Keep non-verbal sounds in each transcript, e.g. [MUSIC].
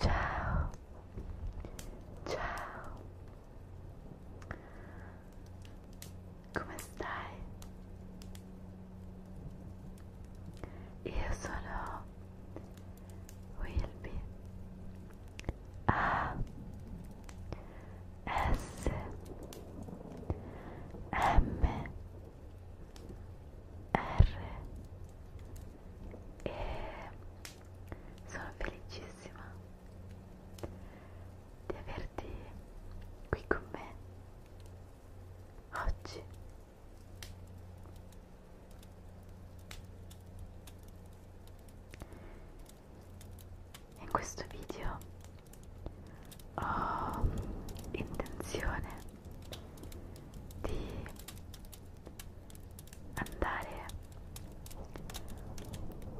Ciao, ciao, come stai? Io sono Wilby A S M R e sono felicissima di averti qui con me oggi. In questo video ho intenzione di andare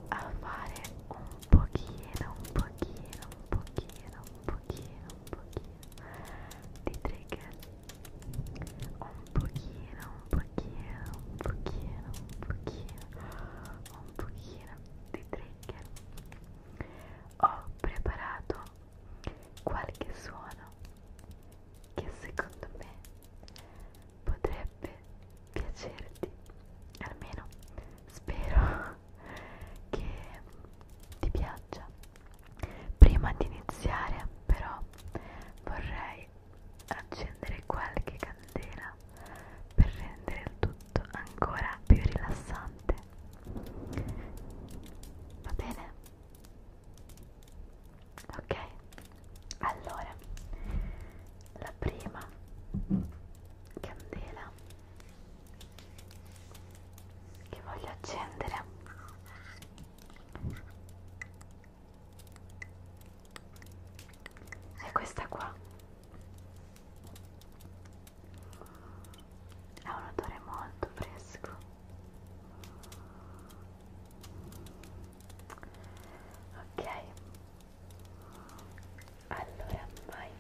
a fare un pochino, un pochino, un pochino, un pochino, un pochino di trigger un pochino, un pochino, un pochino, un pochino, un pochino di trigger ho preparato qualche suono che secondo me potrebbe piacerti, almeno spero [LAUGHS] che ti piaccia. Prima di iniziare però vorrei accendere qualche candela per rendere il tutto ancora più rilassante. Va bene? ok allora la prima candela che voglio accendere è questa qua ha un odore molto fresco ok allora vai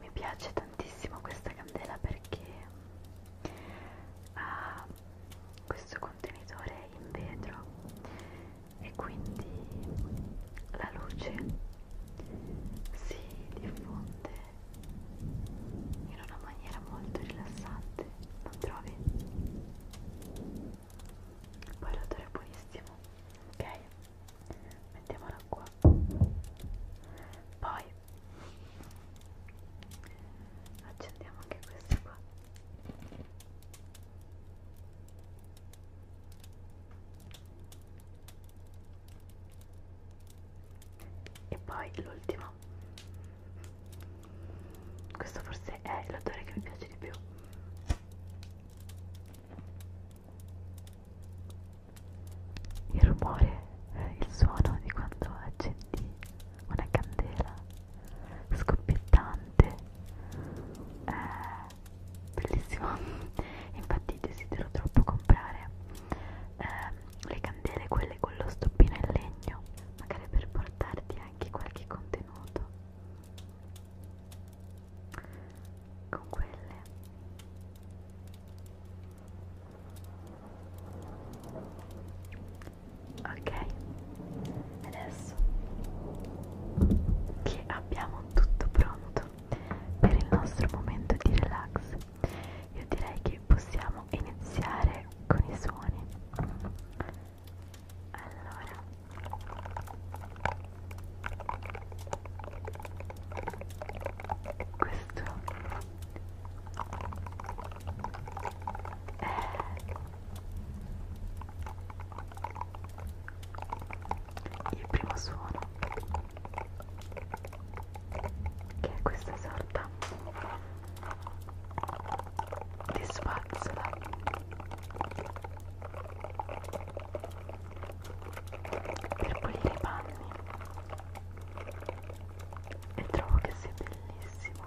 mi piace tantissimo questa candela perché ha questo contenitore in vetro e quindi la luce si diffonde in una maniera molto rilassante, non trovi? Poi l'odore è buonissimo, ok? Mettiamola qua. Poi accendiamo anche questi qua e poi l'ultimo questo forse è l'odore che mi piace di più il rumore eh, il suono di quando accendi una candela scoppiettante eh, bellissimo [LAUGHS] infatti desidero troppo comprare eh, le candele quelle con lo stoppino in legno magari per portarti anche qualche contenuto con quelle ok adesso che abbiamo tutto pronto per il nostro momento di relax io direi che possiamo iniziare con i suoni allora questo è il primo suono che è questa sorta di spazzola per pulire i panni e trovo che sia bellissimo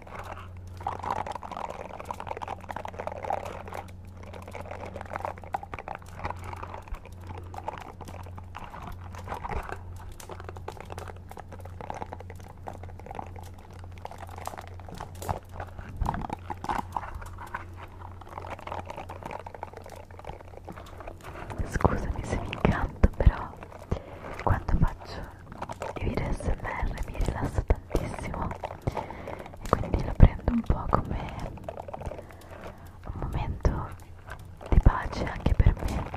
Scusami se mi incanto però quando faccio di video smr mi rilassa tantissimo e quindi lo prendo un po' come un momento di pace anche per me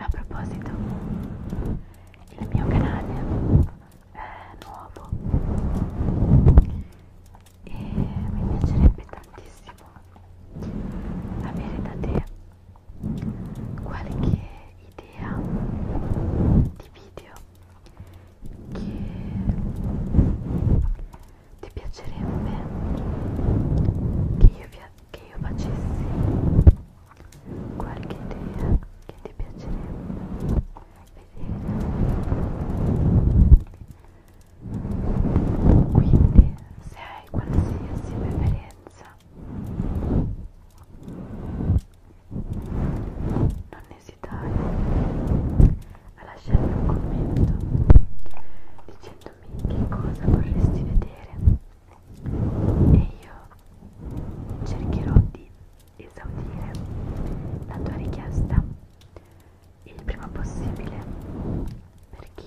A proposito, il mio canale è nuovo e mi piacerebbe tantissimo avere da te qualche idea di video che ti piacerebbe che io, che io facessi qualche idea che ti piacerebbe vedere quindi se hai qualsiasi preferenza non esitare a lasciarmi un commento dicendomi che cosa vorresti vedere e io cercherò di esaudire la tua richiesta il prima possibile perché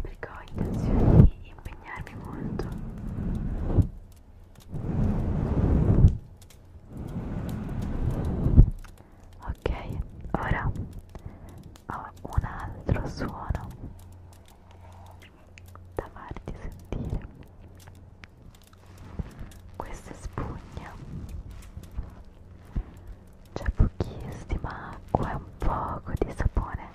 perché ho intenzione di impegnarmi molto ok ora ho un altro suono da farti sentire questa è spugna c'è pochissima acqua e un poco di sapone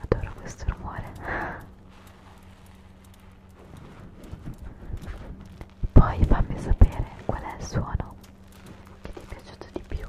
adoro questo rumore poi fammi sapere qual è il suono che ti è piaciuto di più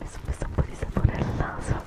Mi sono messo un po' di sapone al naso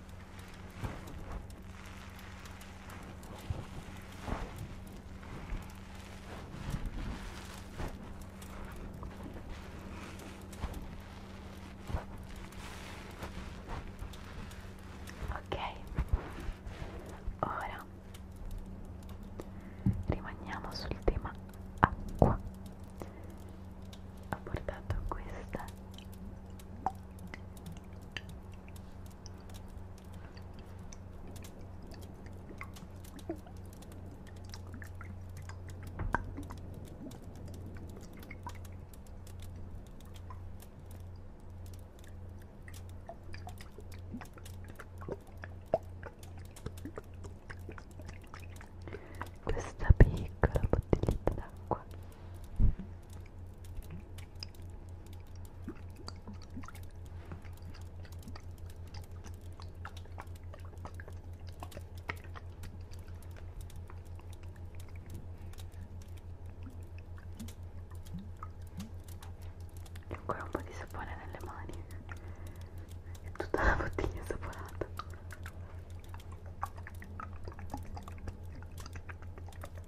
Ok, ora rimaniamo sul tema acqua. Ho portato questa questa piccola bottiglietta d'acqua e ancora un po' di sapone nelle mani e tutta la bottiglia saponata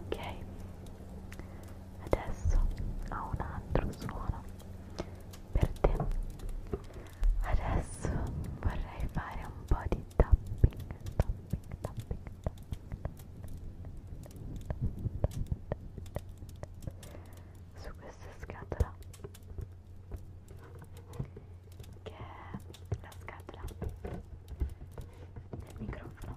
ok adesso ho un altro suono per te adesso vorrei fare un po' di tapping tapping tapping tapping su questa scatola che è la scatola del microfono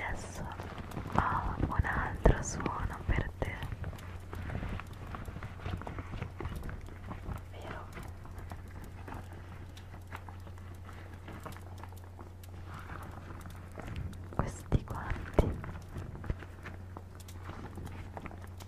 Adesso ho un altro suono per te. Vero? Questi guanti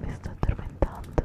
Mi sto addormentando.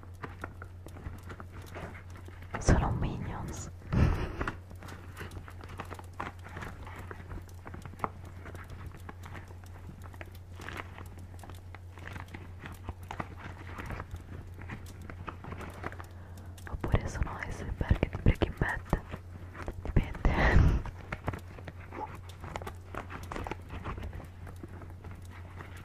Solo minions. o Oppure sono iceberg de Breaking Bad. depende [LAUGHS]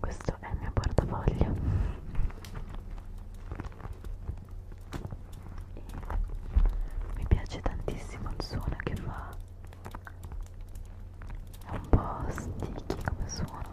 Questo è il mio portafoglio. E mi piace tantissimo il suono che fa. È un po' sticky come suono.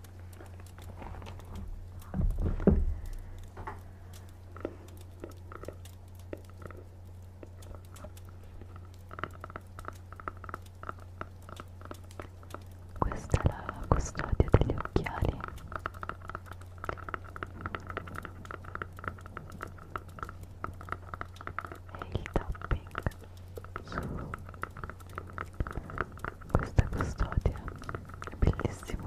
Questa è la custodia degli occhiali. E il tapping questa custodia è bellissima.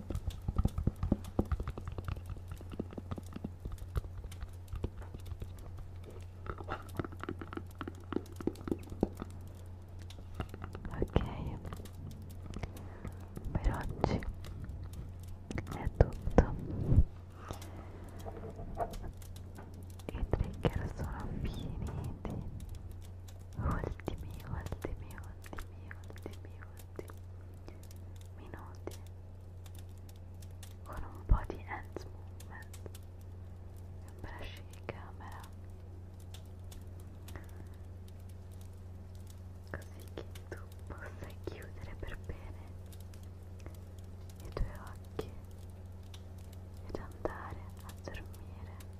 Ok, per oggi è tutto. I trigger sono finiti. Ultimi, ultimi, minuti, minuti, minuti, minuti con un po' di hands movement e bracci di camera così che tu possa chiudere per bene i tuoi occhi ed andare a dormire